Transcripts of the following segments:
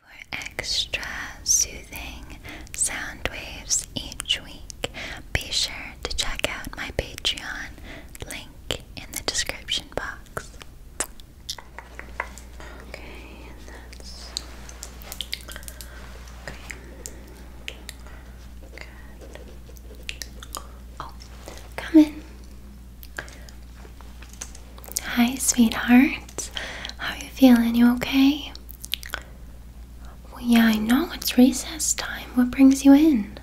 For extra soothing sound waves each week, be sure to check out my Patreon link in the description box. Okay, that's okay. Good. Oh, come in. Hi, sweetheart. How you feeling? You okay? yeah, I know it's recess time. What brings you in?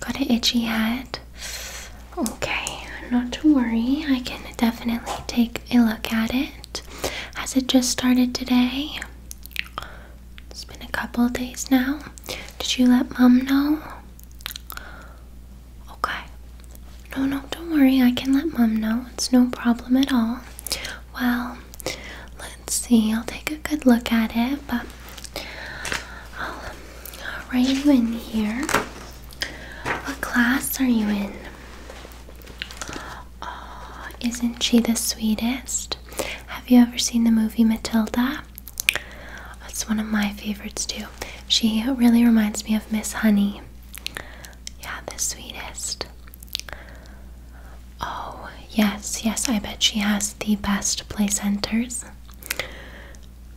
Got an itchy head. Okay, not to worry. I can definitely take a look at it. Has it just started today? It's been a couple days now. Did you let mom know? Okay. No, no, don't worry. I can let mom know. It's no problem at all. Well, let's see. I'll take a good look at it, but I'll uh, write you in here. What class are you in? Uh, isn't she the sweetest? Have you ever seen the movie Matilda? That's one of my favorites too. She really reminds me of Miss Honey. Yeah, the sweetest. Oh, yes, yes, I bet she has the best play centers.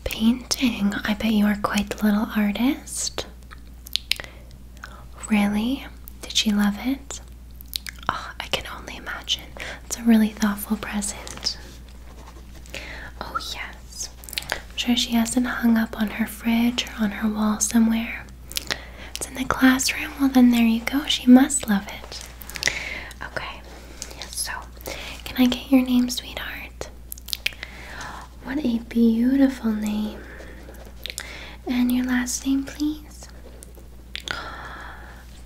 Painting. I bet you are quite the little artist. Really? Did she love it? Oh, I can only imagine. It's a really thoughtful present. Oh, yes. I'm sure she hasn't hung up on her fridge or on her wall somewhere. It's in the classroom. Well, then there you go. She must love it. Okay, so can I get your name, sweetheart? What a beautiful name. And your last name, please.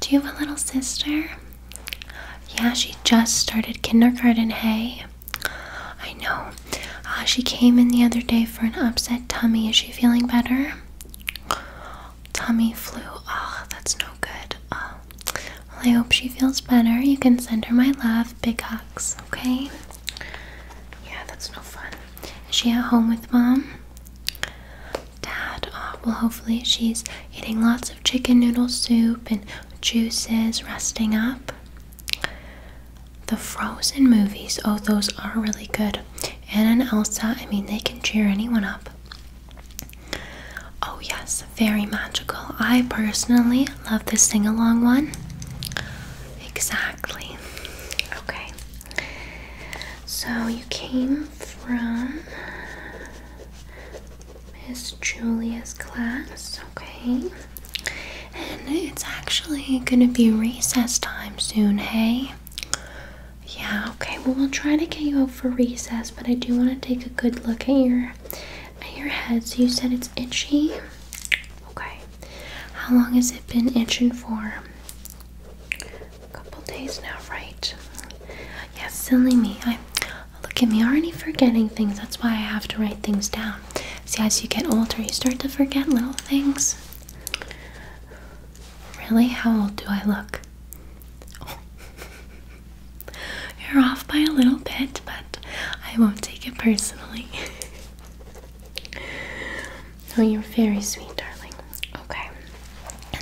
Do you have a little sister? Yeah, she just started kindergarten, hey? I know. Uh, she came in the other day for an upset tummy. Is she feeling better? Tummy flu. Oh, that's no good. Oh. Well, I hope she feels better. You can send her my love. Big hugs, okay? Yeah, that's no fun. Is she at home with mom? Dad. Oh, well, hopefully she's eating lots of chicken noodle soup and juices, resting up. The Frozen movies, oh, those are really good. Anna and Elsa, I mean, they can cheer anyone up. Oh, yes, very magical. I personally love the sing along one. Exactly. Okay. So you came from Miss Julia's class, okay? And it's actually gonna be recess time soon, hey? Yeah, okay. Well, we'll try to get you out for recess, but I do want to take a good look at your at your head. So you said it's itchy. Okay. How long has it been itching for? A couple days now, right? Yes, silly me. I Look at me, already forgetting things. That's why I have to write things down. See, as you get older, you start to forget little things. Really? How old do I look? You're off by a little bit, but I won't take it personally. oh, you're very sweet, darling. Okay.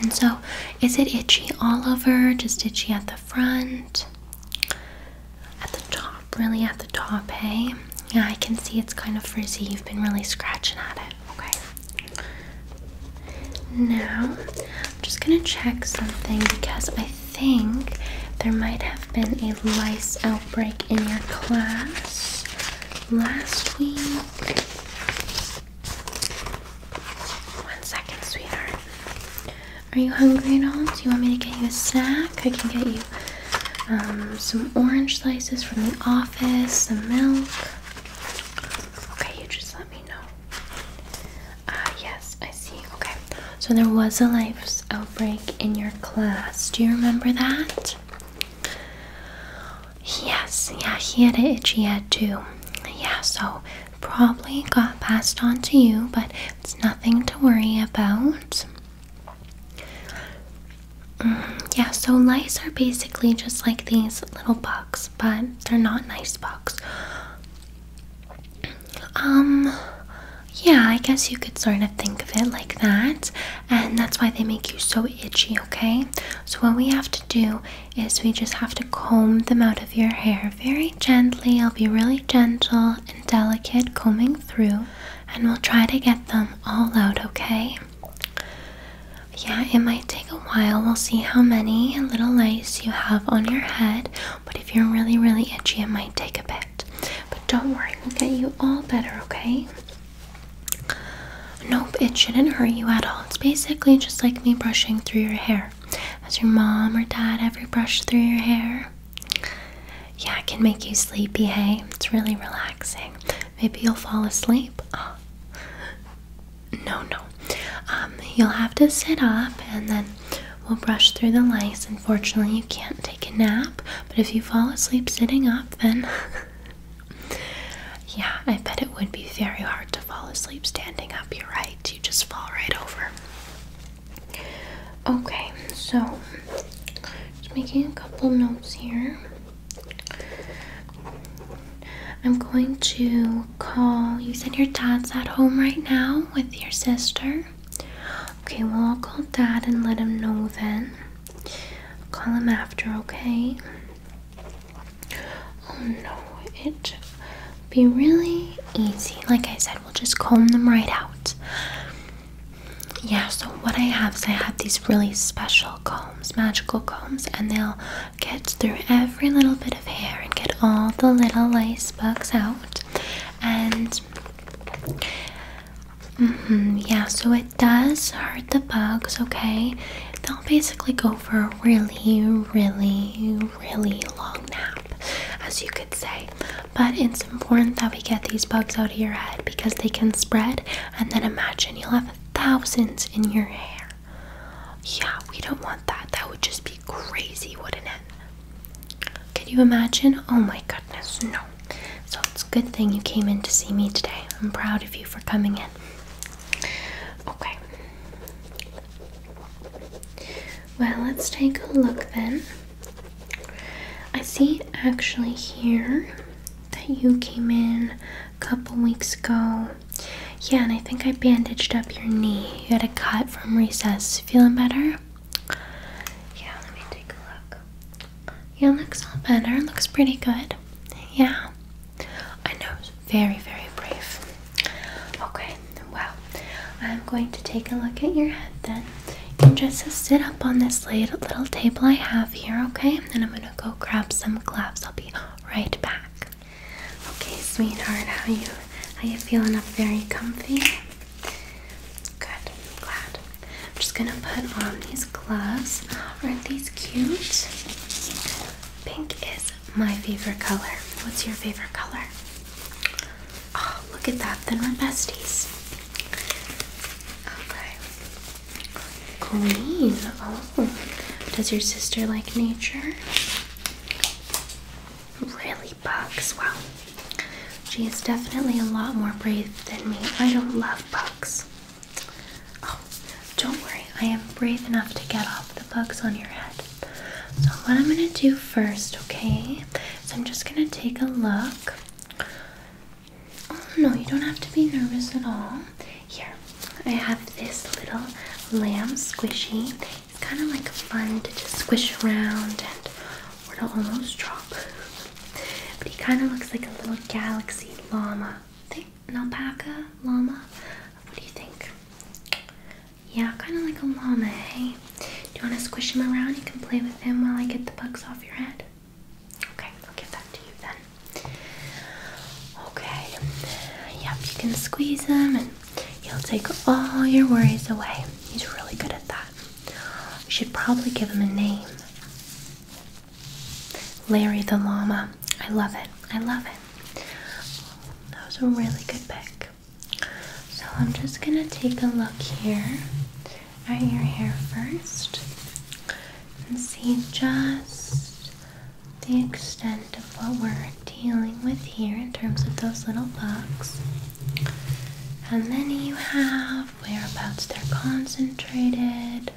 And so, is it itchy all over? Just itchy at the front? At the top, really at the top, hey? Yeah, I can see it's kind of frizzy. You've been really scratching at it, okay? Now, I'm just gonna check something because I think there might have been a lice outbreak in your class last week. One second, sweetheart. Are you hungry at all? Do you want me to get you a snack? I can get you um, some orange slices from the office, some milk. Okay, you just let me know. Ah, yes, I see. Okay, so there was a lice outbreak in your class. Do you remember that? Yes, yeah, he had an itchy head too. Yeah, so probably got passed on to you, but it's nothing to worry about. Mm, yeah, so lice are basically just like these little bugs, but they're not nice bugs. Um, yeah, I guess you could sort of think of it like that, and that's why they make you so itchy, okay? So, what we have to do is we just have to comb them out of your hair very gently. I'll be really gentle delicate combing through, and we'll try to get them all out, okay? Yeah, it might take a while. We'll see how many little lice you have on your head, but if you're really, really itchy, it might take a bit. But don't worry, we'll get you all better, okay? Nope, it shouldn't hurt you at all. It's basically just like me brushing through your hair. Has your mom or dad ever brushed through your hair? Yeah, it can make you sleepy, hey? It's really relaxing. Maybe you'll fall asleep. No, no. Um, you'll have to sit up and then we'll brush through the lice. Unfortunately, you can't take a nap, but if you fall asleep sitting up, then. yeah, I bet it would be very hard to fall asleep standing up. You're right, you just fall right over. Okay, so just making a couple notes here. I'm going to call. You said your dad's at home right now with your sister. Okay, well, I'll call dad and let him know then. call him after, okay? Oh no, it'll be really easy. Like I said, said, we'll just comb them right out. Yeah, so what I have is I have these really special combs, magical combs, and they'll get through every little bit of hair and get all the little lice bugs out. And mm-hmm, yeah, so it does hurt the bugs, okay? They'll basically go for a really, really, really long nap as you could say. But it's important that we get these bugs out of your head because they can spread. And then imagine you'll have thousands in your hair. Yeah, we don't want that. That would just be crazy, wouldn't it? Can you imagine? Oh my goodness, no. So it's a good thing you came in to see me today. I'm proud of you for coming in. Okay. Well, let's take a look then. I see actually here that you came in a couple weeks ago. Yeah, and I think I bandaged up your knee. You had a cut from recess. Feeling better? Yeah, let me take a look. Yeah, looks all better. Looks pretty good. Yeah. I know. Very, very brave. Okay, well, I'm going to take a look at your head then. You just sit up on this little table I have here, okay? then I'm gonna go grab some gloves. I'll be right back. Okay, sweetheart, how you how you feeling up Very comfy? Good, glad. I'm just gonna put on these gloves. Aren't these cute? Pink is my favorite color. What's your favorite color? Oh, look at that. Then we're besties. Okay. Green. Oh, does your sister like nature? Really bugs. Wow. She is definitely a lot more brave than me. I don't love bugs. Oh, don't worry. I am brave enough to get off the bugs on your head. So, what I'm going to do first, okay, is I'm just going to take a look. Oh, no, you don't have to be nervous at all. Here, I have this little lamb squishy. It's kind of like fun to just squish around and we're going to almost drop. But he kind of looks like a little galaxy llama. Think an alpaca llama? What do you think? Yeah, kind of like a llama, hey? Do you want to squish him around? You can play with him while I get the bugs off your head. Okay, I'll give that to you then. Okay, yep, you can squeeze him and he'll take all your worries away. He's really good at that. You should probably give him a name Larry the Llama. I love it. I love it. That was a really good pick. So I'm just gonna take a look here at your hair first and see just the extent of what we're dealing with here in terms of those little bugs. And then you have, whereabouts they're concentrated.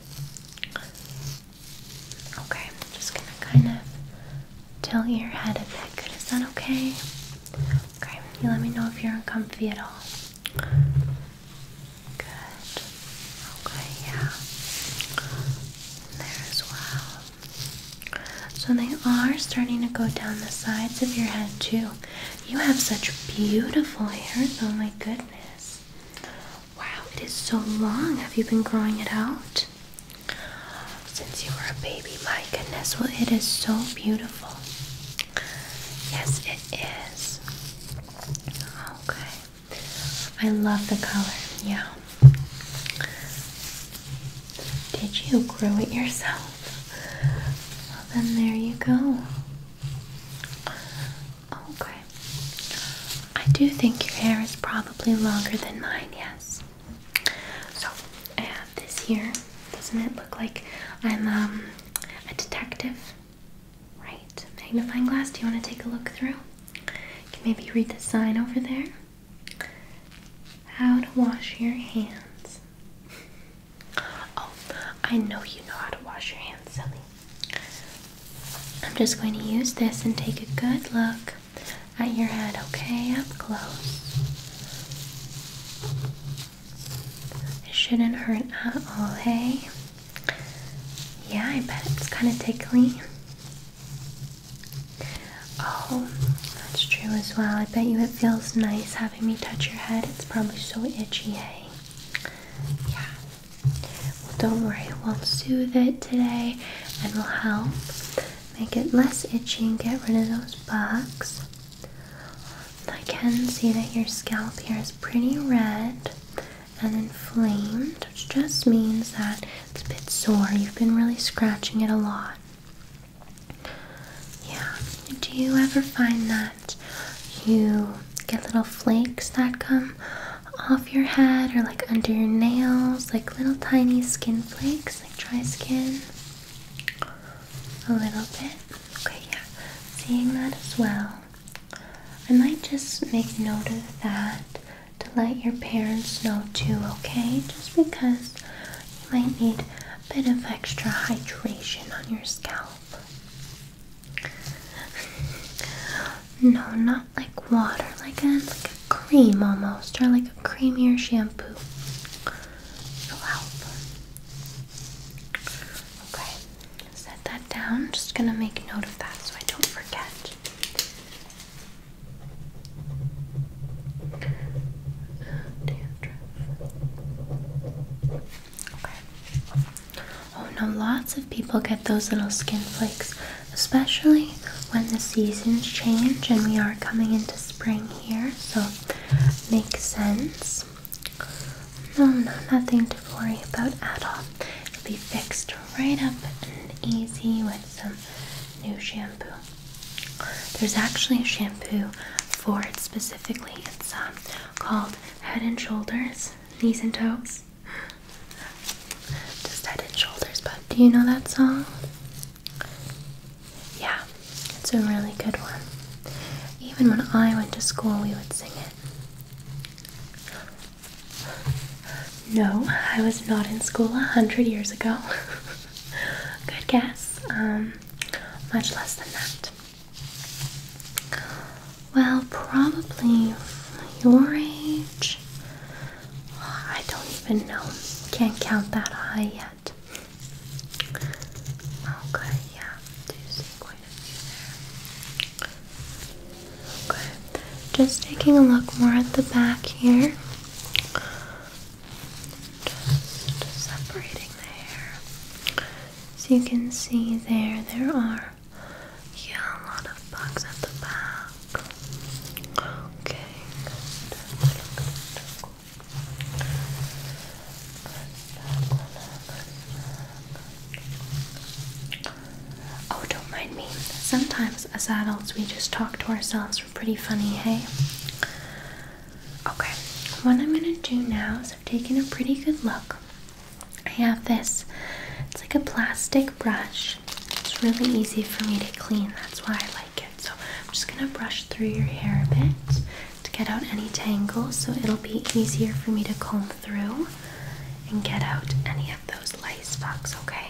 Okay, I'm just gonna kind of tilt your head a bit. Good, is that okay? Okay, let me know if you're uncomfortable. at all. Good. Okay, yeah. There as well. So they are starting to go down the sides of your head too. You have such beautiful hair, oh my goodness. Wow, it is so long. Have you been growing it out? since you were a baby. My goodness, well, it is so beautiful. Yes, it is. Okay. I love the color. Yeah. Did you grow it yourself? Well, then there you go. Okay. I do think your hair is probably longer than mine, yes. So I have this here. Doesn't it look like I'm um, a detective? Right. Magnifying glass. Do you want to take a look through? You can maybe read the sign over there. How to wash your hands. Oh, I know you know how to wash your hands, silly. I'm just going to use this and take a good look at your head, okay? Up close. It shouldn't hurt at all, hey? Yeah, I bet it's kind of tickly. Oh, that's true as well. I bet you it feels nice having me touch your head. It's probably so itchy, hey? Yeah. Well, don't worry. We'll soothe it today and we'll help make it less itchy and get rid of those bugs. I can see that your scalp here is pretty red and inflamed, which just means that it's a bit sore. You've been really scratching it a lot. Yeah. Do you ever find that you get little flakes that come off your head or like under your nails, like little tiny skin flakes, like dry skin? A little bit? Okay, yeah. Seeing that as well. I might just make note of that to let your parents know too, okay? Just because you might need a bit of extra hydration on your scalp. no, not like water, like a, like a cream almost, or like a creamier shampoo will help. Okay, set that down. Just gonna make note of that so I don't forget. Okay. Oh no, lots of people get those little skin flakes, especially when the seasons change and we are coming into spring here, so makes sense. No, no, nothing to worry about at all. It'll be fixed right up and easy with some new shampoo. There's actually a shampoo for it specifically. It's um, called Head and Shoulders, Knees and Toes. Just Head and Shoulders, but do you know that song? Yeah, it's a really good one. Even when I went to school, we would sing it. No, I was not in school a hundred years ago. good guess. Um, much less than that. Well, probably your age. I don't even know. Can't count that high yet. Okay, yeah. Okay. Just taking a look more at the back here. Just separating the hair. So you can see there, there are yeah, a lot of bugs at the back. Okay, Oh, don't mind me. Sometimes as adults we just talk to ourselves. We're pretty funny, hey? Okay, what I'm gonna do now is I've taken a pretty good look. I have this, it's like a plastic brush. It's really easy for me to clean, that's why I like it. So I'm just gonna brush through your hair a bit to get out any tangles so it'll be easier for me to comb through and get out any of those lice bugs. okay?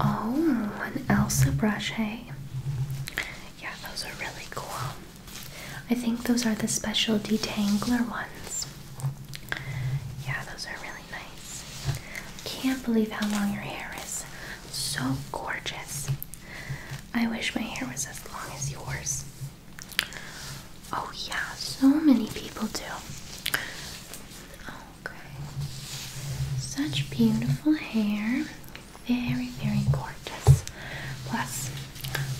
Oh, an Elsa brush, hey? Yeah, those are really cool. I think those are the special detangler ones. Yeah, those are really really nice. Can't believe how long your hair is. So gorgeous. I wish my hair was as long as yours. Oh, yeah, so many people do. Okay. Such beautiful hair. Very, very gorgeous. Plus,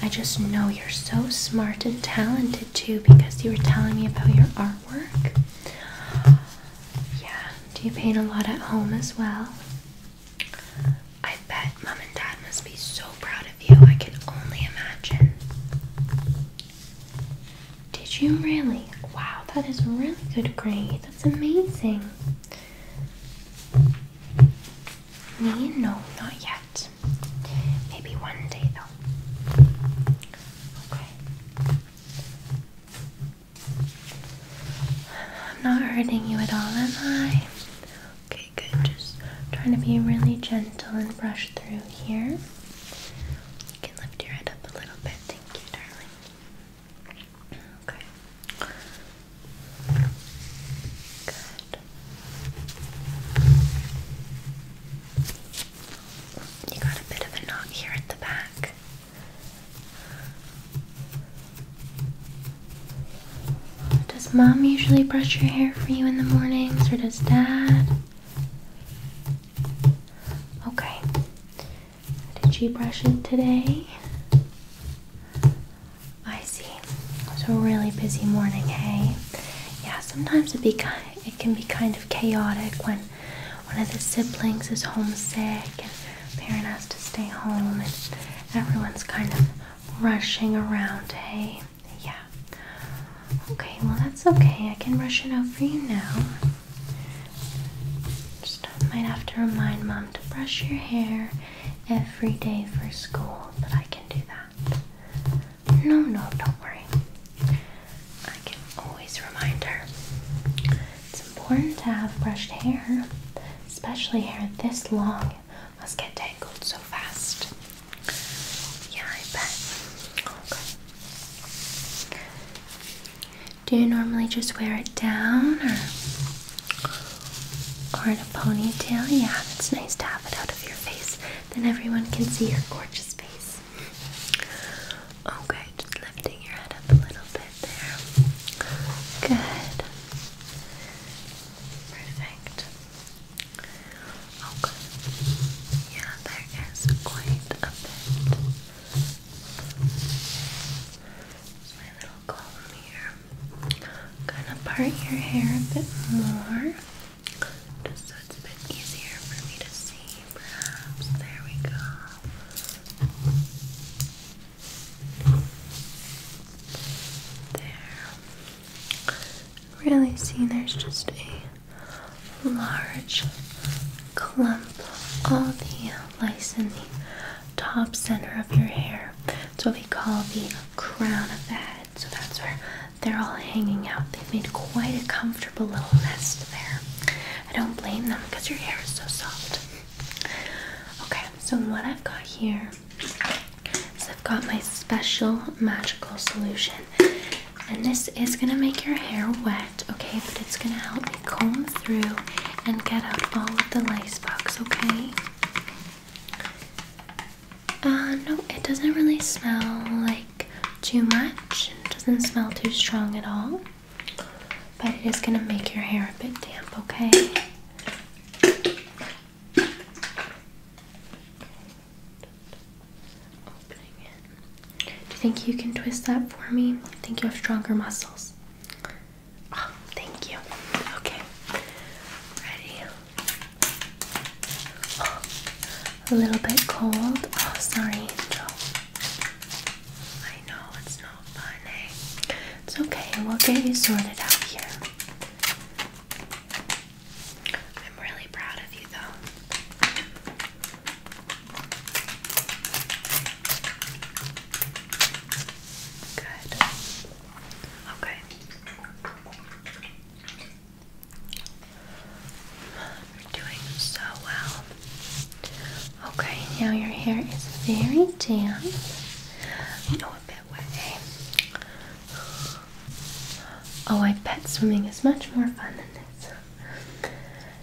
I just know you're so smart and talented too because you were telling me about your artwork. Yeah. Do you paint a lot at home as well? I bet mom and dad must be so proud of you. I can only imagine. Did you really? Wow, that is really good grade. That's amazing. Me? No, not yet. Maybe one day though. Okay. I'm not hurting you at all, am I? Okay, good. Just trying to be really gentle and brush through here. You can lift your head up a little bit. Thank you, darling. Okay. Good. You got a bit of a knot here at the back. Does mom usually brush your hair for you in the morning, or does dad? Okay. Did she brush it today? I see. It was a really busy morning, hey? Yeah, sometimes it'd be kind it can be kind of chaotic when one of the siblings is homesick and parent has to stay home and everyone's kind of rushing around, hey? Yeah. Okay, well that's okay. I can rush it out for you now. Just might have to remind mom to brush your hair every day for school, but I can do that. No, no, don't worry. I can always remind her. It's important to have brushed hair, especially hair this long. It must get tangled so fast. Yeah, I bet. Okay. Do you normally just wear it down or, or in a ponytail? Yeah, it's nice to have it out of your face. Then everyone can see your gorgeous face. Okay, just lifting your head up a little bit there. Good. Perfect. Okay. Yeah, there is quite a bit. There's my little column here. I'm gonna part your hair a bit more, so it's a bit easier for me to see. There we go. There. Really see there's just a large clump of the lice in the top center of your hair. It's what we call the crown of the head. So that's where they're all hanging out. they made quite a comfortable little nest there. I don't blame them because your hair is so soft. Okay, so what I've got here is I've got my special magical solution, and this is gonna make your hair wet, okay? But it's gonna help me comb through and get out all of the lice bugs, okay? Uh, no, it doesn't really smell like too much. It doesn't smell too strong at all. But it is going to make your hair a bit damp, okay? Do you think you can twist that for me? I think you have stronger muscles. Oh, thank you. Okay. Ready? a little bit cold. Oh, sorry. I know it's not fun, eh? It's okay, we'll get you sorted out here. I'm really proud of you, though. Good. Okay. You're doing so well. Okay, now your hair is very damp. Oh, a bit wet, Oh, I bet swimming is much more fun than this.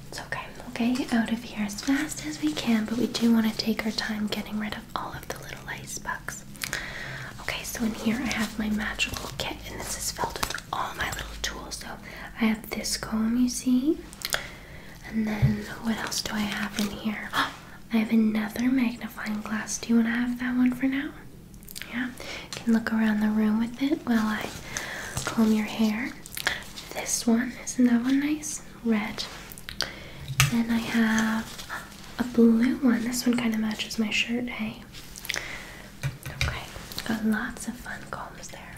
It's okay. We'll get you out of here as fast as we can, but we do want to take our time getting rid of all of the little ice bugs. Okay, so in here I have my magical kit, and this is filled with all my little tools. So I have this comb, you see, and then what else do I have in here? I have another magnifying glass. Do you want to have that one for now? Yeah, can look around the room with it while I comb your hair. This one, isn't that one nice? Red. Then I have a blue one. This one kind of matches my shirt, hey? Okay, got lots of fun combs there.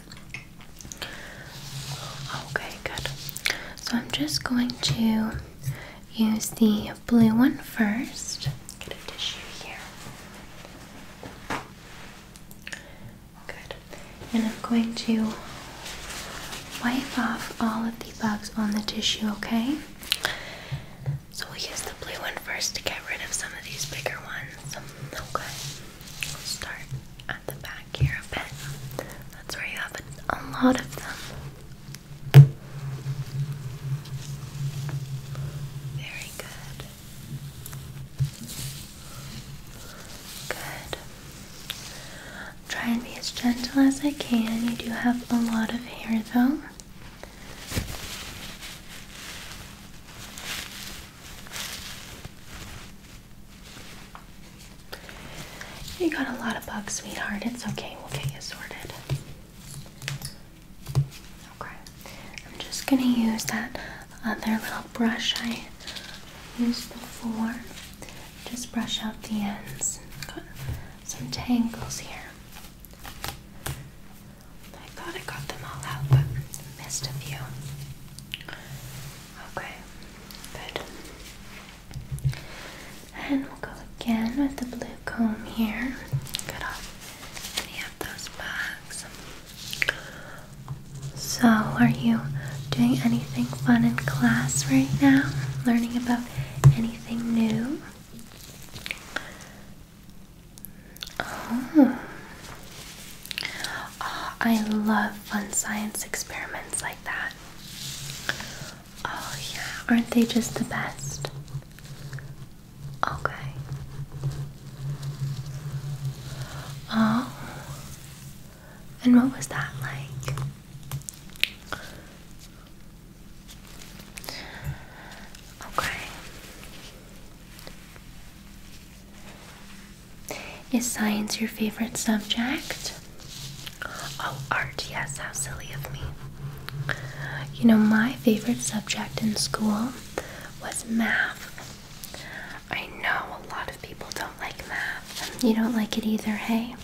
Okay, good. So I'm just going to use the blue one first. Get a tissue here. Good. And I'm going to wipe off all of the bugs on the tissue, okay? So we'll use the blue one first to get rid of some of these bigger ones. Okay. We'll start at the back here a bit. That's where you have a, a lot of them. Very good. Good. Try and be as gentle as I can. You do have a lot of hair though. You got a lot of bugs, sweetheart. It's okay. We'll get you sorted. Okay. I'm just going to use that other little brush I used before. Just brush out the ends. Got some tangles here. I thought I got them all out, but missed a few. Okay, good. And we'll go again with the blue comb here. Cut off any of those bags. So, are you doing anything fun in class right now? Learning about anything new? Oh. I love fun science experiments like that. Oh, yeah, aren't they just the best? Okay. Oh, and what was that like? Okay. Is science your favorite subject? Oh, art, yes, how silly of me. You know, my favorite subject in school was math. I know a lot of people don't like math. You don't like it either, hey?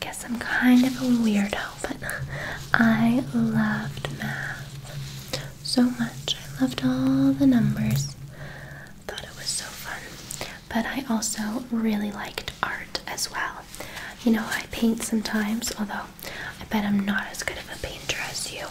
Guess I'm kind of a weirdo, but I loved math so much. I loved all the numbers. thought it was so fun. But I also really liked art as well. You know, I paint sometimes, although I bet I'm not as good of a painter as you.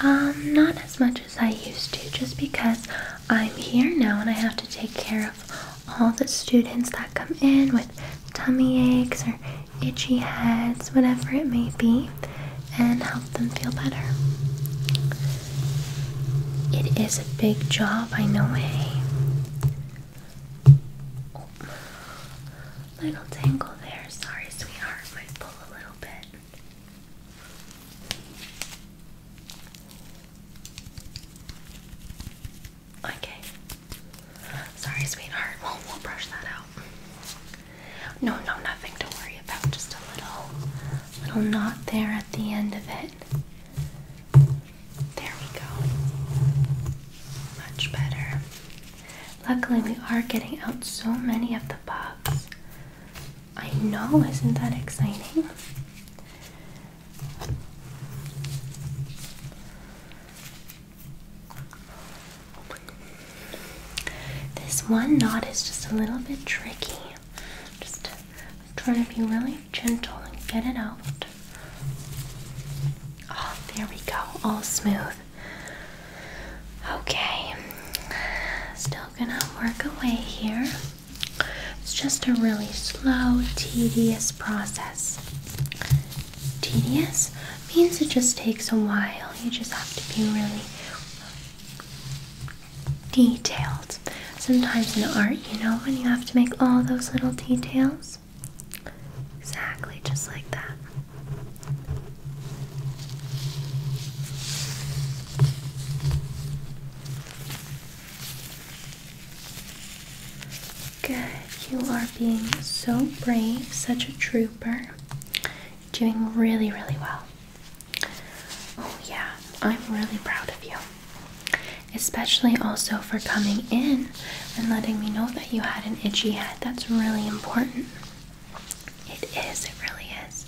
Um, not as much as I used to, just because I'm here now and I have to take care of all the students that come in with tummy aches or itchy heads, whatever it may be, and help them feel better. It is a big job, I know, hey? Eh? Oh, little tangle there. Sorry, sweetheart, might pull a little bit. Okay. Sorry, sweetheart. Well, we'll brush that out. No, no, nothing to worry about. Just a little, little knot there at the end of it. There we go. Much better. Luckily, we are getting out so many of the bugs. I know, isn't that exciting? This one knot is just a little bit tricky. Just trying to be really gentle and get it out. Oh, there we go. All smooth. Okay. Still gonna work away here. It's just a really slow, tedious process tedious means it just takes a while. You just have to be really detailed. Sometimes in art, you know, when you have to make all those little details. Exactly, just like that. Good. You are being so brave, such a trooper. Doing really, really well. Oh, yeah, I'm really proud of you. Especially also for coming in and letting me know that you had an itchy head. That's really important. It is, it really is.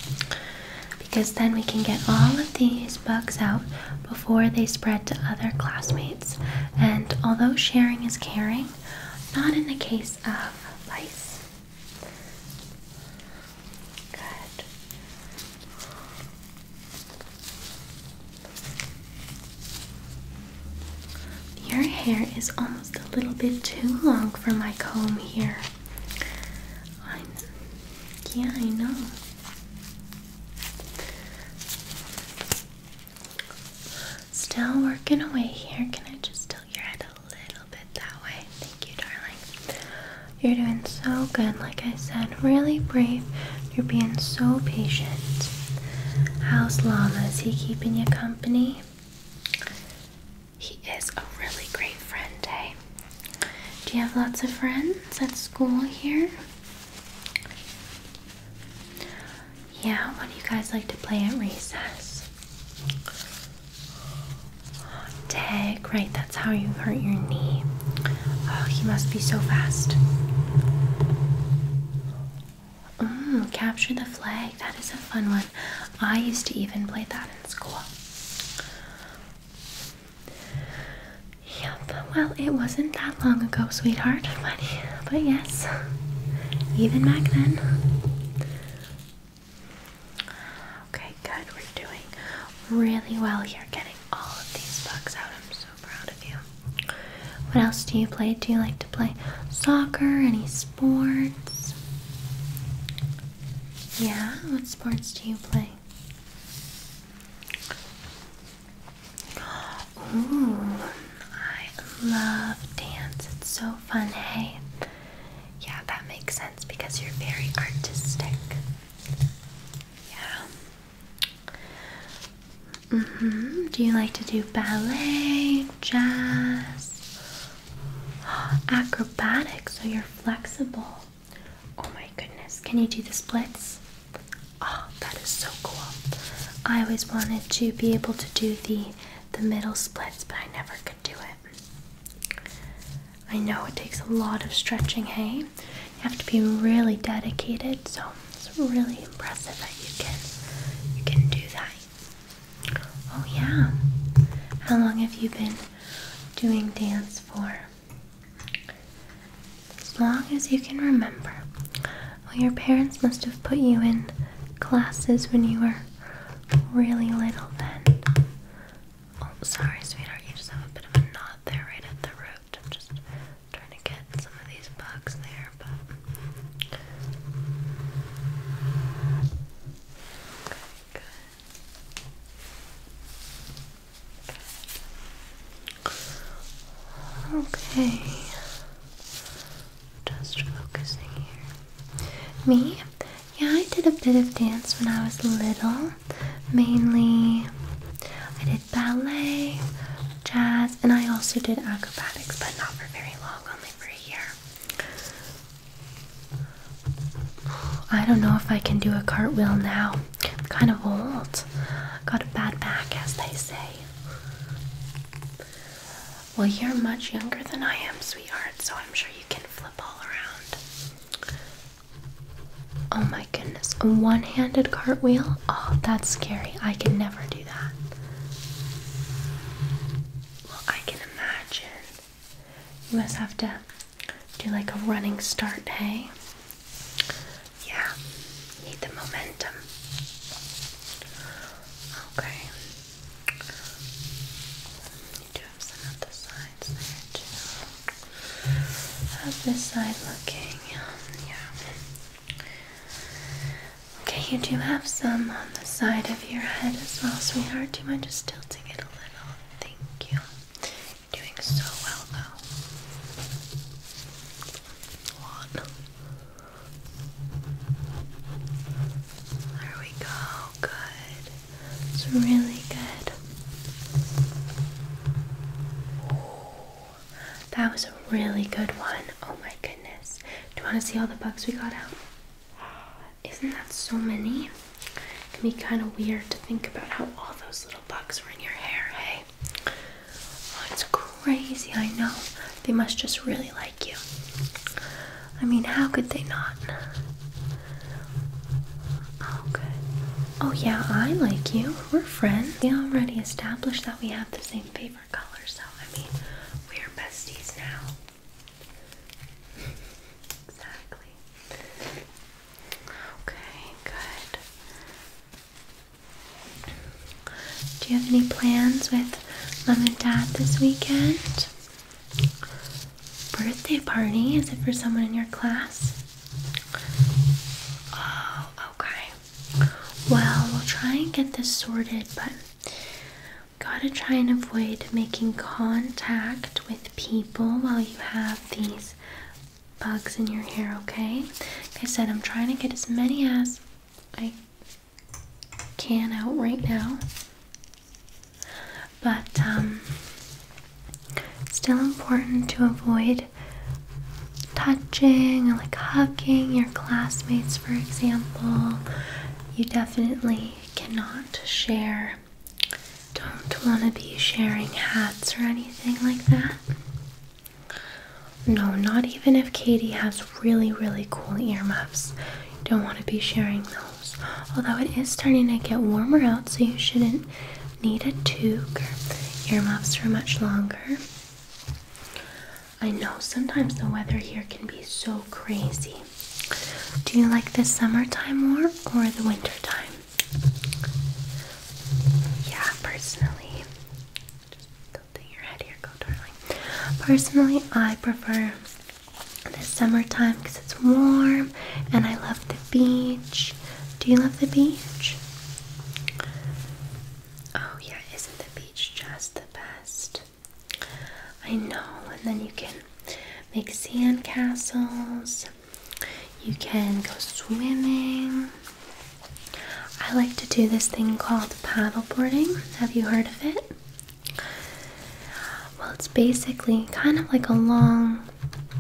Because then we can get all of these bugs out before they spread to other classmates. And although sharing is caring, not in the case of lice. Good. Your hair is almost a little bit too long for my comb here. yeah, I know. Still working away here. Can I just tilt your head a little bit that way? Thank you, darling. You're doing so good, like I said. Really brave. You're being so patient. How's Lala? Is he keeping you company? He is a really great friend, hey? Eh? Do you have lots of friends at school here? Yeah, what do you guys like to play at recess? Oh, tag, right, that's how you hurt your knee. Oh, he must be so fast. Mmm, capture the flag. That is a fun one. I used to even play that in school. Yep, well, it wasn't that long ago, sweetheart, but but yes, even back then. Okay, good. We're doing really well here getting all of these bugs out. I'm so proud of you. What else do you play? Do you like to play soccer? Any sports? Yeah, what sports do you play? Ooh, I love dance. It's so fun, hey? Yeah, that makes sense because you're very artistic. Yeah. hmm Do you like to do ballet, jazz, acrobatics so you're flexible? Oh my goodness. Can you do the splits? Oh, that is so cool. I always wanted to be able to do the the middle splits, but I never could do it. I know it takes a lot of stretching, hey? You have to be really dedicated, so it's really impressive that you can you can do that. Oh yeah. How long have you been doing dance for? As long as you can remember. Well, your parents must have put you in classes when you were really little then. Oh, sorry, sweetheart, you just have a bit of a knot there right at the root. I'm just trying to get some of these bugs there, but. Okay, good. Okay. Just focusing here. Me? Yeah, I did a bit of dance when I was little. Mainly, I did ballet, jazz, and I also did acrobatics, but not for very long, only for a year. I don't know if I can do a cartwheel now. I'm kind of old. Got a bad back, as they say. Well, you're much younger than I am, sweetheart, so I'm sure you can flip all around. Oh my goodness, a one handed cartwheel? Oh, that's scary. I can never do that. Well, I can imagine. You must have to do like a running start, hey? Yeah, need the momentum. Okay. You do have some other sides there too. How's this side looking? Yeah. Okay, you do have some on the side of your head as well, sweetheart. Do you mind just tilting it a little? Thank you. doing so well though. One. There we go. Good. It's really good. That was a really good one. Oh my goodness. Do you want to see all the bugs we got out? Isn't that so many? It can be kind of weird to think about how all those little bugs were in your hair, hey? Oh, it's crazy, I know. They must just really like you. I mean, how could they not? Oh, good. Oh, yeah, I like you. We're friends. We already established that we have the same favorite color, so I mean, we're besties now. exactly. Okay, good. Do you have any plans with mom and dad this weekend? Birthday party? Is it for someone in your class? Oh, okay. Well, we'll try and get this sorted, but gotta try and avoid making contact with people while you have these bugs in your hair, okay? Like I said, I'm trying to get as many as I can out right now, but um, still important to avoid touching or like hugging your classmates, for example. You definitely cannot share. Don't want to be sharing hats or anything like that. No, not even if Katie has really, really cool earmuffs. You don't want to be sharing those. Although it is starting to get warmer out, so you shouldn't need a toque. Earmuffs for much longer. I know sometimes the weather here can be so crazy. Do you like the summertime more or the wintertime? Yeah, personally go darling. Personally, I prefer the summertime because it's warm and I love the beach. Do you love the beach? Oh, yeah, isn't the beach just the best? I know, and then you can make sand castles, you can go swimming. I like to do this thing called paddleboarding. Have you heard of it? Well, it's basically kind of like a long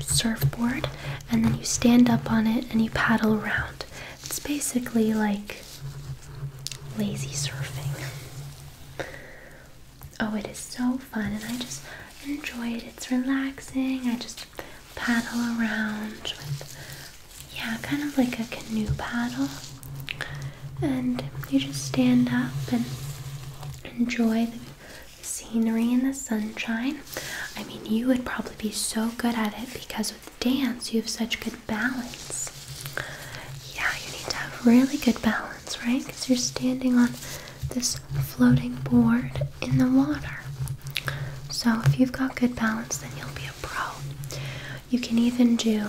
surfboard, and then you stand up on it and you paddle around. It's basically like lazy surfing. Oh, it is so fun, and I just enjoy it. It's relaxing. I just paddle around with yeah, kind of like a canoe paddle. And you just stand up and enjoy the scenery and the sunshine. I mean, you would probably be so good at it because with dance, you have such good balance. Yeah, you need to have really good balance, right? Because you're standing on this floating board in the water. So, if you've got good balance, then you'll be a pro. You can even do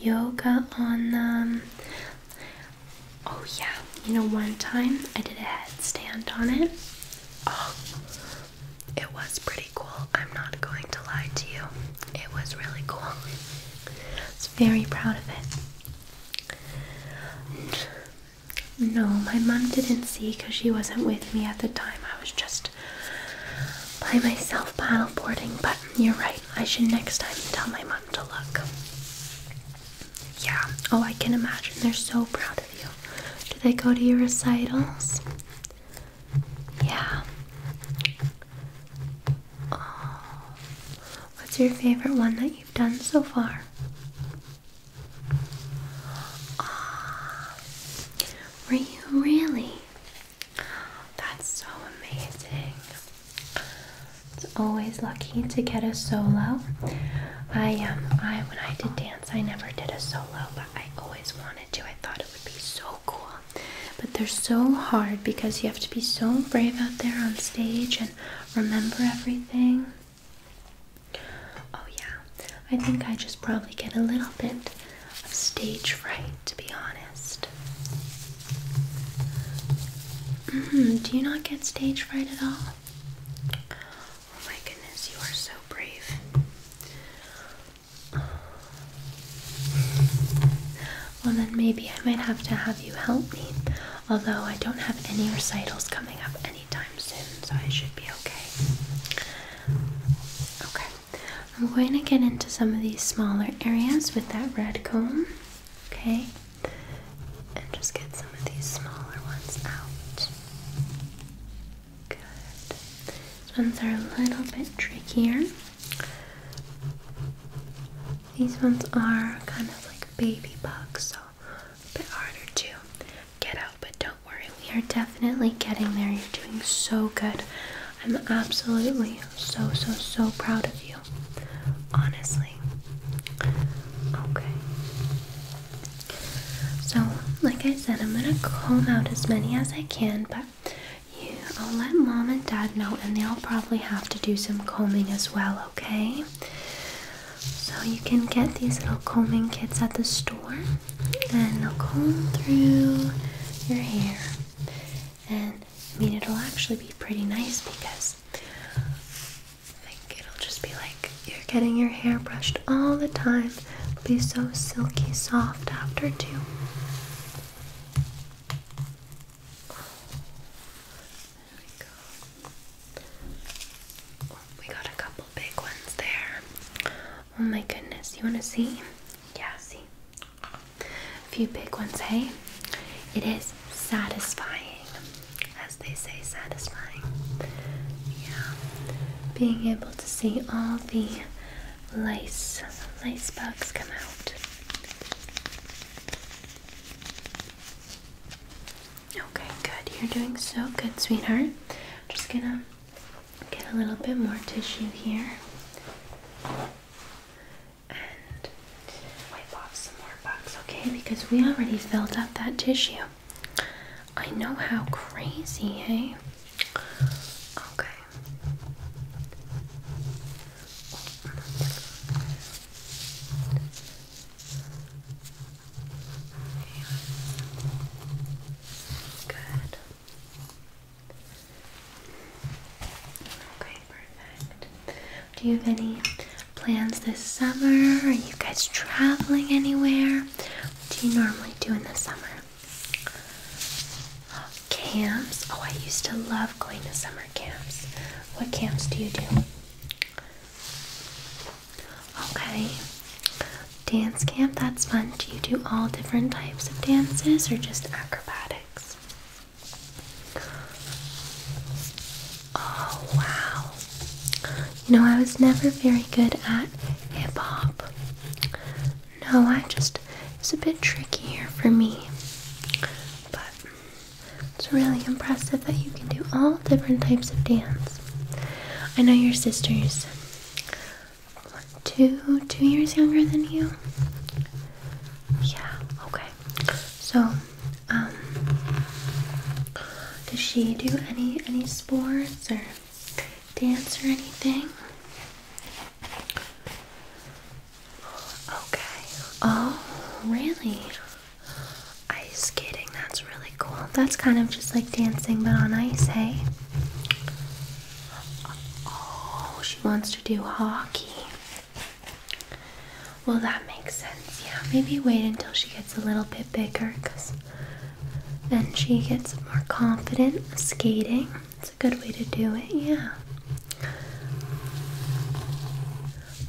yoga on them. Oh, yeah, you know, one time I did a headstand on it. Oh, it was pretty cool. I'm not going to lie to you, it was really cool. I was very proud of it. No, my mom didn't see because she wasn't with me at the time. I was just by myself paddleboarding, but you're right, I should next time tell my mom to look. Yeah, oh, I can imagine. They're so proud of you. Do they go to your recitals? Yeah. Oh. What's your favorite one that you've done so far? Oh. Were you really? That's so amazing. It's always lucky to get a solo. I um I when I did dance I never did a solo, but I always wanted to. I thought it would be so cool. But they're so hard because you have to be so brave out there on stage and remember everything. Oh yeah. I think I just probably get a little bit of stage fright, to be honest. Mm-hmm, do you not get stage fright at all? Oh my goodness, you are so brave. Well, then maybe I might have to have you help me. Although I don't have any recitals coming up anytime soon, so I should be okay. Okay. I'm going to get into some of these smaller areas with that red comb, okay? And just get some of these smaller ones out. Good. These ones are a little bit trickier. These ones are kind of like baby bugs, so a bit harder to get out but don't worry, we are definitely getting there. You're doing so good. I'm absolutely so, so, so proud of you. Honestly. Okay. So, like I said, I'm gonna comb out as many as I can, but you, I'll let mom and dad know, and they'll probably have to do some combing as well, okay? So, you can get these little combing kits at the store and I'll comb through your hair. And I mean, it'll actually be pretty nice because I think it'll just be like you're getting your hair brushed all the time. It'll be so silky soft after, too. There we go. Oh, we got a couple big ones there. Oh my goodness, you want to see? Yeah, see. A few big ones, hey? It is satisfying, as they say, satisfying. Yeah. Being able to see all the lice, lice bugs come out. Okay, good. You're doing so good, sweetheart. just gonna Get a little bit more tissue here and wipe off some more bugs, okay? Because we already filled up that tissue. I know how crazy, hey? Eh? Okay. Good. Okay, perfect. Do you have any plans this summer? Are you guys traveling anywhere? What do you normally do in the summer? camps. Oh, I used to love going to summer camps. What camps do you do? Okay. Dance camp, that's fun. Do you do all different types of dances or just acrobatics? Oh, wow. You know, I was never very good at hip hop. No, I just, it's a bit trickier for me. But it's really impressive that you can do all different types of dance. I know your sisters two two years younger than you. Yeah. Okay. So, um, does she do any any sports or dance or anything? Okay. Oh, really? Ice skating. That's really cool. That's kind of just like dancing but on ice, hey? Oh, she wants to do hockey. Well, that makes sense. Yeah, maybe wait until she gets a little bit bigger because then she gets more confident skating. It's a good way to do it, yeah.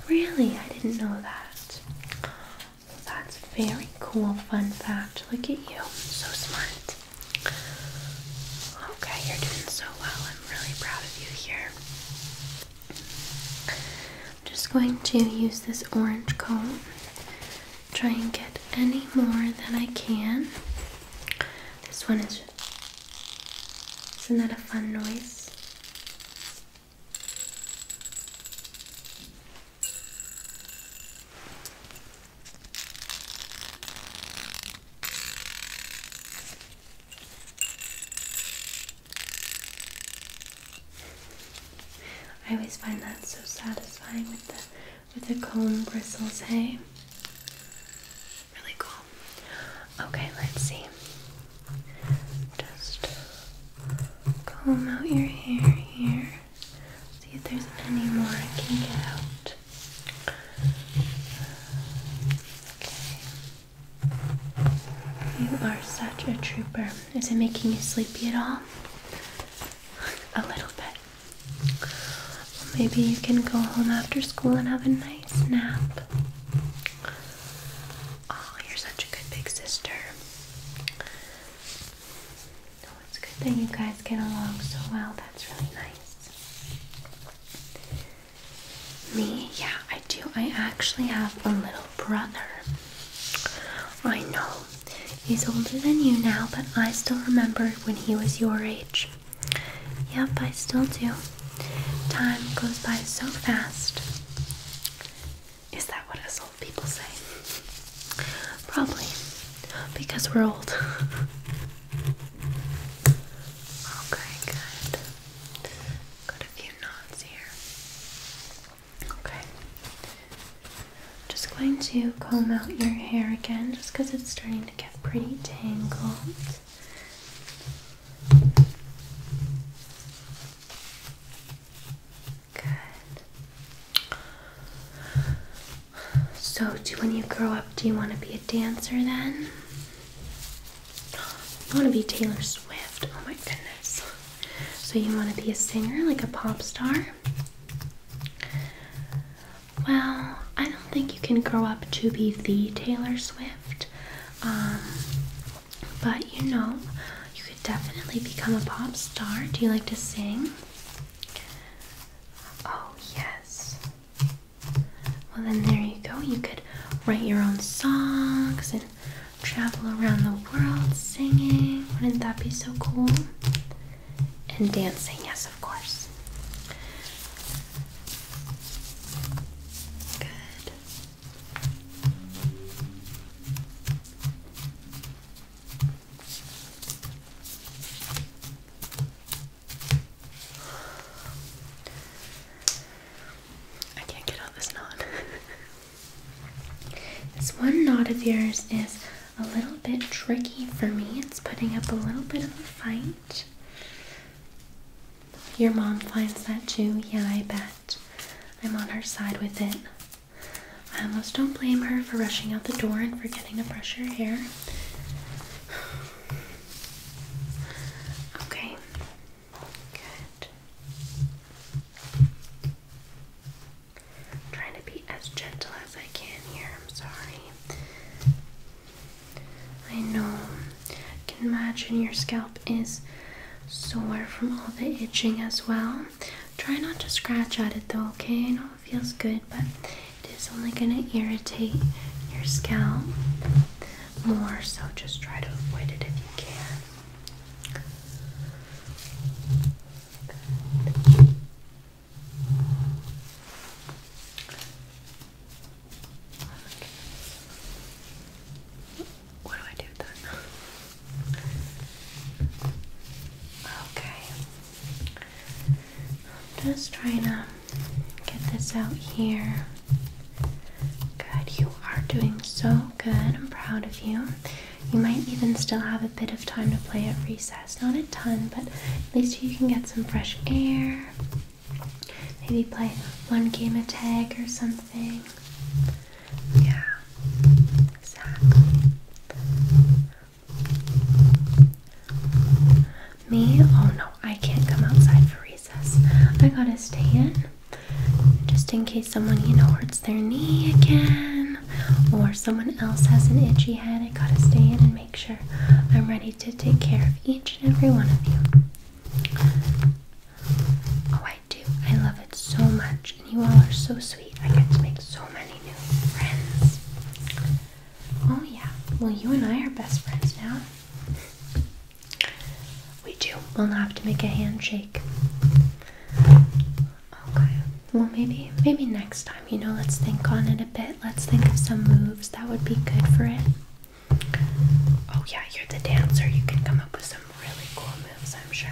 Really? I didn't know that. That's very cool, fun fact. Look at you, so smart. Okay, you're doing so well. I'm really proud of you here. I'm just going to use this orange comb, try and get any more than I can. This one is. Isn't that a fun noise? I always find that so satisfying with the with the comb bristles, hey? Really cool. Okay, let's see. Just comb out your hair here. See if there's any more I can get out. Okay. You are such a trooper. Is it making you sleepy at all? a little bit. maybe you can go home after school and have a nice nap. Oh, you're such a good big sister. No, it's good that you guys get along so well. That's really nice. Me, yeah, I do. I actually have a little brother. I know. He's older than you now, but I still remember when he was your age. Yep, I still do. Time goes by so fast. Is that what us old people say? Probably because we're old. okay, good. Got a few knots here. Okay. Just going to comb out your hair again just because it's starting to get pretty tangled. Good. So, do when you grow up, do you want to be a dancer then? I want to be Taylor Swift. Oh my goodness. So, you want to be a singer, like a pop star? Well, I don't think you can grow up to be the Taylor Swift. Um, but you know, you could definitely become a pop star. Do you like to sing? Oh, yes. Well, then there you go. You could write your own songs and travel around the world singing. Wouldn't that be so cool? And dancing, yes, of course. Good. I can't get out this knot. this one knot of yours is a little bit tricky for me. It's putting up a little bit of a fight. Your mom finds that too. Yeah, I bet. I'm on her side with it. I almost don't blame her for rushing out the door and forgetting to brush her hair. Okay, good. i trying to be as gentle as I can here. I'm sorry. I know. can imagine your scalp is sore from all the itching as well. Try not to scratch at it though, okay? feels good, but it is only going to irritate your scalp more, so just try to avoid it if you can. What do I do then? Okay. I'm just trying to get this out here. Good, you are doing so good. I'm proud of you. You might even still have a bit of time to play at recess. Not a ton, but at least you can get some fresh air. Maybe play one game of tag or something. Yeah, exactly. Me? Oh no, I can't come outside for recess. I gotta stay in just in case someone, you know, hurts their knee again or someone else has an itchy head. I gotta stay in and make sure I'm ready to take care of each and every one of you. Oh, I do. I love it so much, and you all are so sweet. I get to make so many new friends. Oh, yeah. Well, you and I are best friends now. We do. We'll have to make a handshake. Okay. Well, maybe, maybe next time. You know, let's think on it a bit. Let's think of some moves that would be good for it. Oh yeah, you're the dancer. You can come up with some really cool moves, I'm sure.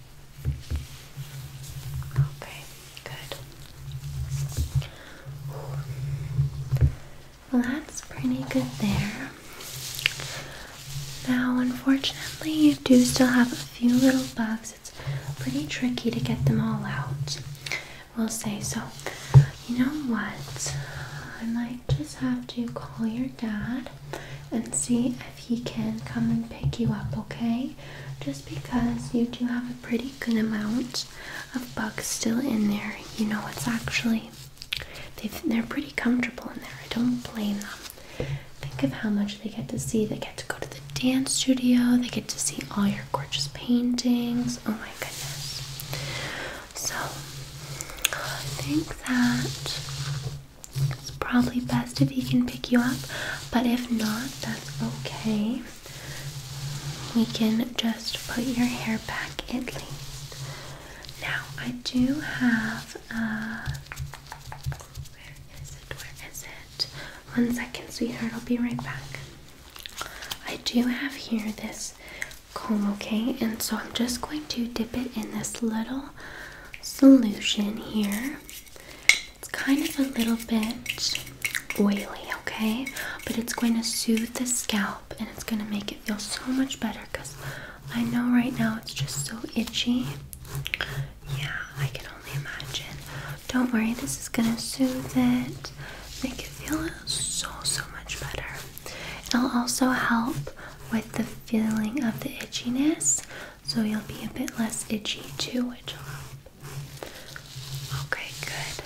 Okay, good. Well, that's pretty good there. Now, unfortunately, you do still have a few little bugs. It's pretty tricky to get them all out. We'll say so. You know what? I might just have to call your dad and see if he can come and pick you up, okay? Just because you do have a pretty good amount of bugs still in there, you know, it's actually, they're pretty comfortable in there. I don't blame them. Think of how much they get to see. They get to go to the dance studio, they get to see all your gorgeous paintings. Oh my goodness. So, I think that it's probably best if he can pick you up, but if not, that's okay. We can just put your hair back at least. Now, I do have uh, where is it? Where is it? One second, sweetheart, I'll be right back. I do have here this comb, okay, and so I'm just going to dip it in this little solution here. It's kind of a little bit oily, okay? But it's going to soothe the scalp and it's going to make it feel so much better because I know right now it's just so itchy. Yeah, I can only imagine. Don't worry, this is going to soothe it, make it feel so, so much better. It'll also help with the feeling of the itchiness, so you'll be a bit less itchy too, which Okay, good.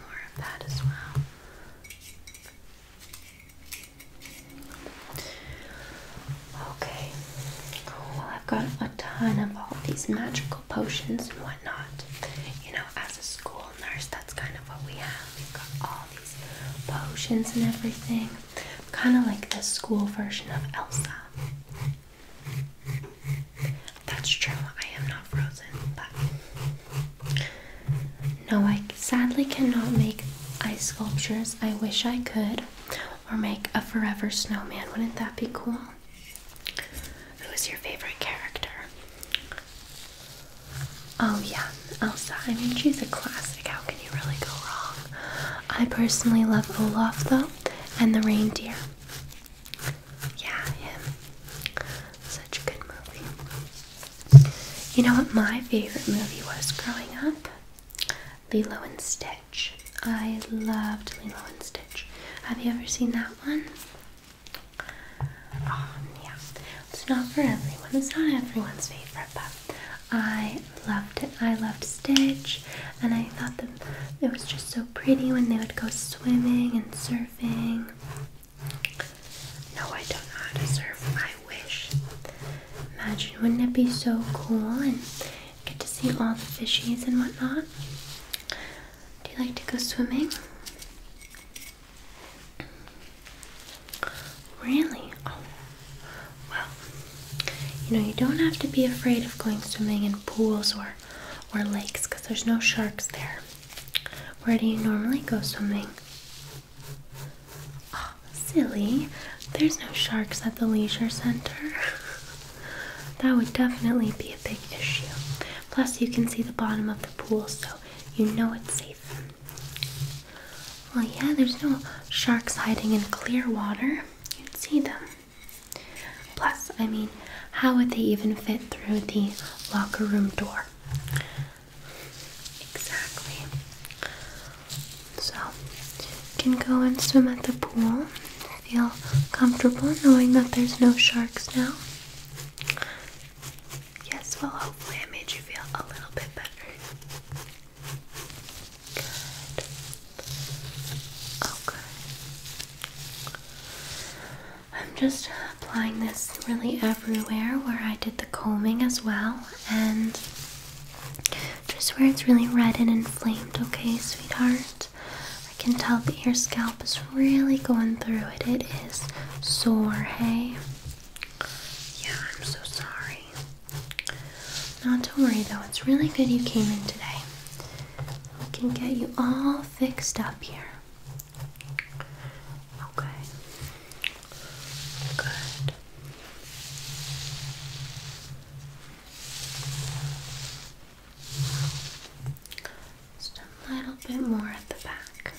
more of that as well. Okay. well, I've got a ton of all these magical potions and whatnot. You know, as a school nurse, that's kind of what we have. We've got all these potions and everything. Kind of like the school version of Elsa. That's true. I am not frozen, but no, I sadly cannot make ice sculptures. I wish I could, or make a forever snowman. Wouldn't that be cool? Who is your favorite character? Oh, yeah, Elsa. I mean, she's a classic. How can you really go wrong? I personally love Olaf, though, and the reindeer. Yeah, him. Such a good movie. You know what my favorite movie was growing up? Lilo and Stitch. I loved Lilo and Stitch. Have you ever seen that one? Oh, yeah. It's not for everyone. It's not everyone's favorite, but I loved it. I loved Stitch and I thought that it was just so pretty when they would go swimming and surfing. No, I don't know how to surf. I wish. Imagine, wouldn't it be so cool and get to see all the fishies and whatnot? Do you like to go swimming? Really? Oh, well, you know, you don't have to be afraid of going swimming in pools or or lakes because there's no sharks there. Where do you normally go swimming? Ah, silly. There's no sharks at the leisure center. that would definitely be a big issue. Plus, you can see the bottom of the pool, so you know it's safe. Well, yeah, there's no sharks hiding in clear water. You'd see them. Plus, I mean, how would they even fit through the locker room door? Exactly. So, you can go and swim at the pool. Feel comfortable knowing that there's no sharks now. Yes, well, hopefully, I made you feel a little bit better. Okay. I'm just applying this really everywhere where I did the combing as well, and just where it's really red and inflamed, okay, sweetheart? I can tell that your scalp is really going through it. It is sore, hey? Yeah, I'm so sorry. Not to worry though, it's really good you came in today. We can get you all fixed up here. Okay. Good. Just a little bit more at the back.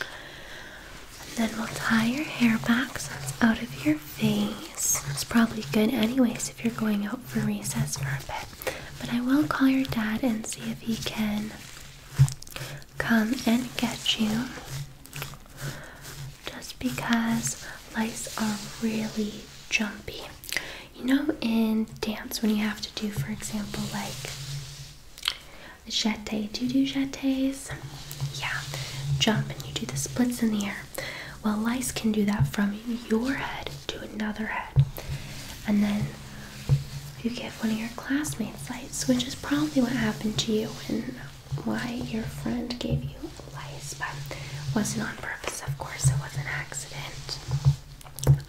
And then we'll tie your hair back so it's out of your face. It's probably good, anyways, if you're going out for recess for a bit. But I will call your dad and see if he can come and get you. Just because lice are really jumpy. You know, in dance, when you have to do, for example, like jeté, do you do jetés? Yeah, jump and you do the splits in the air. Well, lice can do that from your head to another head. And then you get one of your classmates' lice, which is probably what happened to you and why your friend gave you lice, but it wasn't on purpose, of course, it was an accident.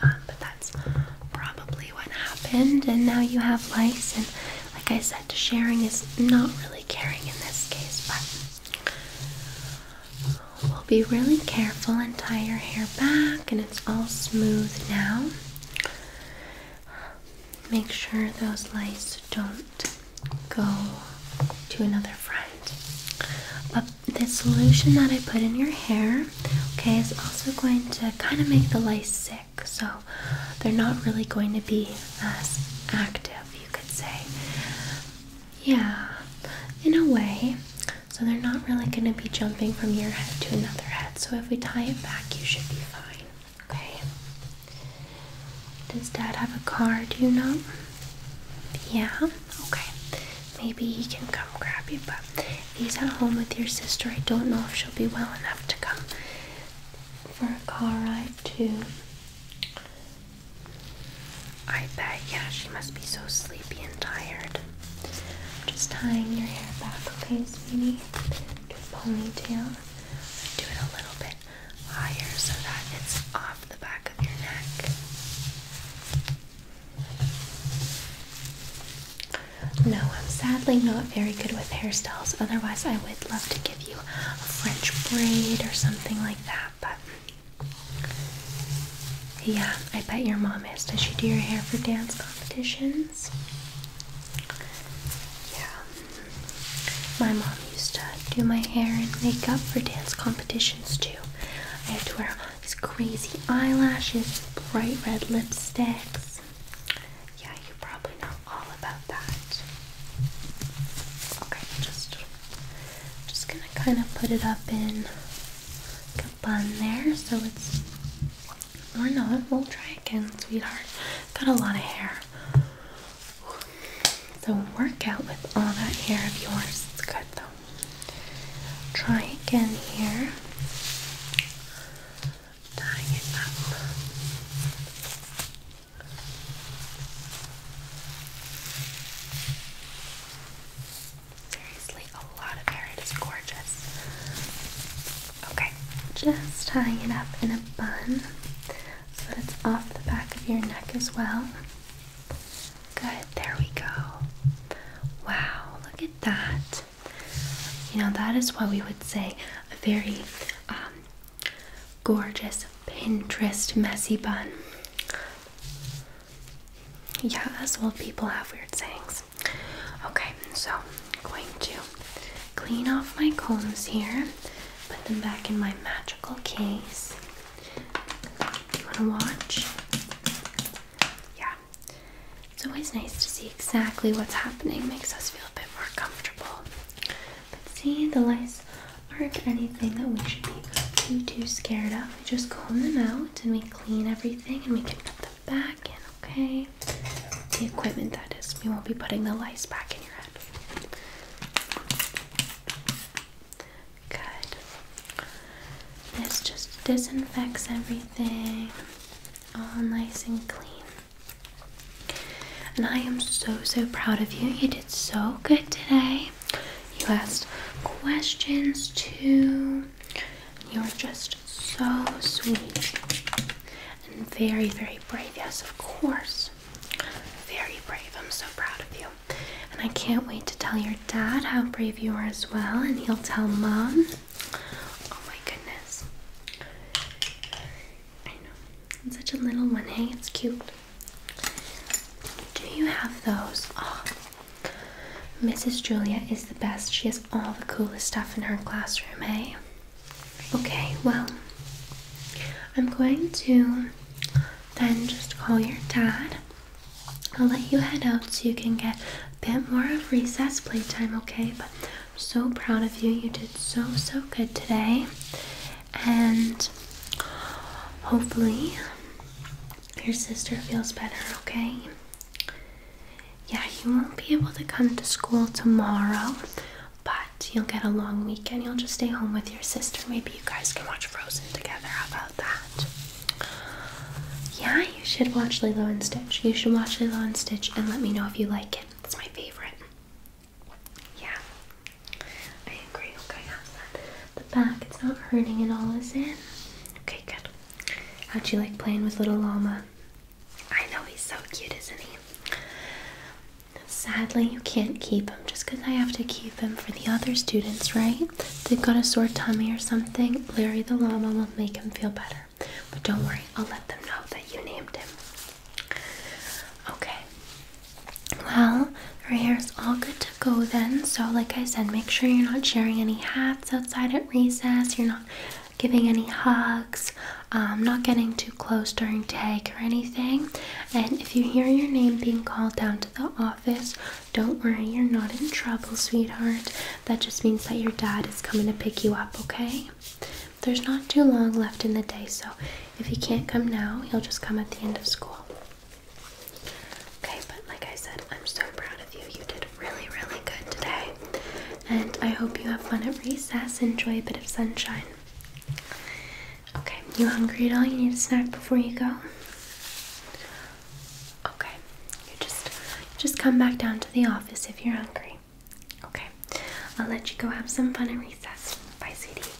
Um, but that's probably what happened, and now you have lice. And like I said, sharing is not really caring in this case, but We'll be really careful and tie your hair back, and it's all smooth now. Make sure those lights don't go to another friend. But the solution that I put in your hair, okay, is also going to kind of make the lice sick. So they're not really going to be as active, you could say. Yeah, in a way. So they're not really going to be jumping from your head to another head. So if we tie it back, you should be fine. Okay. Does dad have a car? Do you know? Yeah? Okay. Maybe he can come grab you, but he's at home with your sister. I don't know if she'll be well enough to come for a car ride, too. I bet, yeah, she must be so sleepy and tired. I'm just tying your hair back, okay, sweetie? Do a ponytail. Do it a little bit higher so that it's off the back of your neck. No, I'm sadly not very good with hairstyles, otherwise, I would love to give you a French braid or something like that but yeah, I bet your mom is. Does she do your hair for dance competitions? Yeah. My mom used to do my hair and makeup for dance competitions too. I had to wear these crazy eyelashes, bright red lipsticks. Yeah, you probably know all about that. Okay, just just gonna kind of put it up in a bun there so it's or not. We'll try again, sweetheart. Got a lot of hair. So workout with all that hair of yours. It's good though. Try again here. Tying it up. Seriously, a lot of hair. It is gorgeous. Okay, just tying it up in a bun so that it's off the back of your neck as well. Good, there we go. Wow, look at that. You know, that is what we would say a very um, gorgeous Pinterest messy bun. Yeah, as well, people have weird sayings. Okay, so I'm going to clean off my combs here, put them back in my magical case. You want to watch? Yeah. It's always nice to see exactly what's happening, makes us feel a bit more comfortable. But see, the lice or anything that we should be too too scared of. We just comb them out and we clean everything and we can put them back in, okay? The equipment that is. We won't be putting the lice back in your head. Good. This just disinfects everything. All nice and clean. And I am so so proud of you. You did so good today. You asked questions too. You're just so sweet and very, very brave. Yes, of course. Very brave. I'm so proud of you. And I can't wait to tell your dad how brave you are as well, and he'll tell mom. Oh my goodness. I know. such a little one. Hey, it's cute. Do you have those? Oh, Mrs. Julia is the best. She has all the coolest stuff in her classroom, eh? Okay, well, I'm going to then just call your dad. I'll let you head out so you can get a bit more of recess playtime, okay? But I'm so proud of you. You did so, so good today and hopefully your sister feels better, okay? Yeah, you won't be able to come to school tomorrow, but you'll get a long weekend. You'll just stay home with your sister. Maybe you guys can watch Frozen together. about that? Yeah, you should watch Lilo and Stitch. You should watch Lilo and Stitch and let me know if you like it. It's my favorite. Yeah. I agree. Okay, how's that? The back, it's not hurting at all, is it? Okay, good. How'd you like playing with little llama? I know he's so cute, isn't he? Sadly, you can't keep him just because I have to keep him for the other students, right? they've got a sore tummy or something. Larry the llama will make him feel better. But don't worry, I'll let them know that you named him. Okay, well, her hair is all good to go then. So, like I said, make sure you're not sharing any hats outside at recess. You're not giving any hugs, um, not getting too close during tag or anything. And if you hear your name being called down to the office, don't worry, you're not in trouble, sweetheart. That just means that your dad is coming to pick you up, okay? There's not too long left in the day, so if he can't come now, he'll just come at the end of school. Okay, but like I said, I'm so proud of you. You did really, really good today. And I hope you have fun at recess. Enjoy a bit of sunshine. Okay, you hungry at all? You need a snack before you go? Okay, you just just come back down to the office if you're hungry. Okay, I'll let you go have some fun at recess. Bye, sweetie.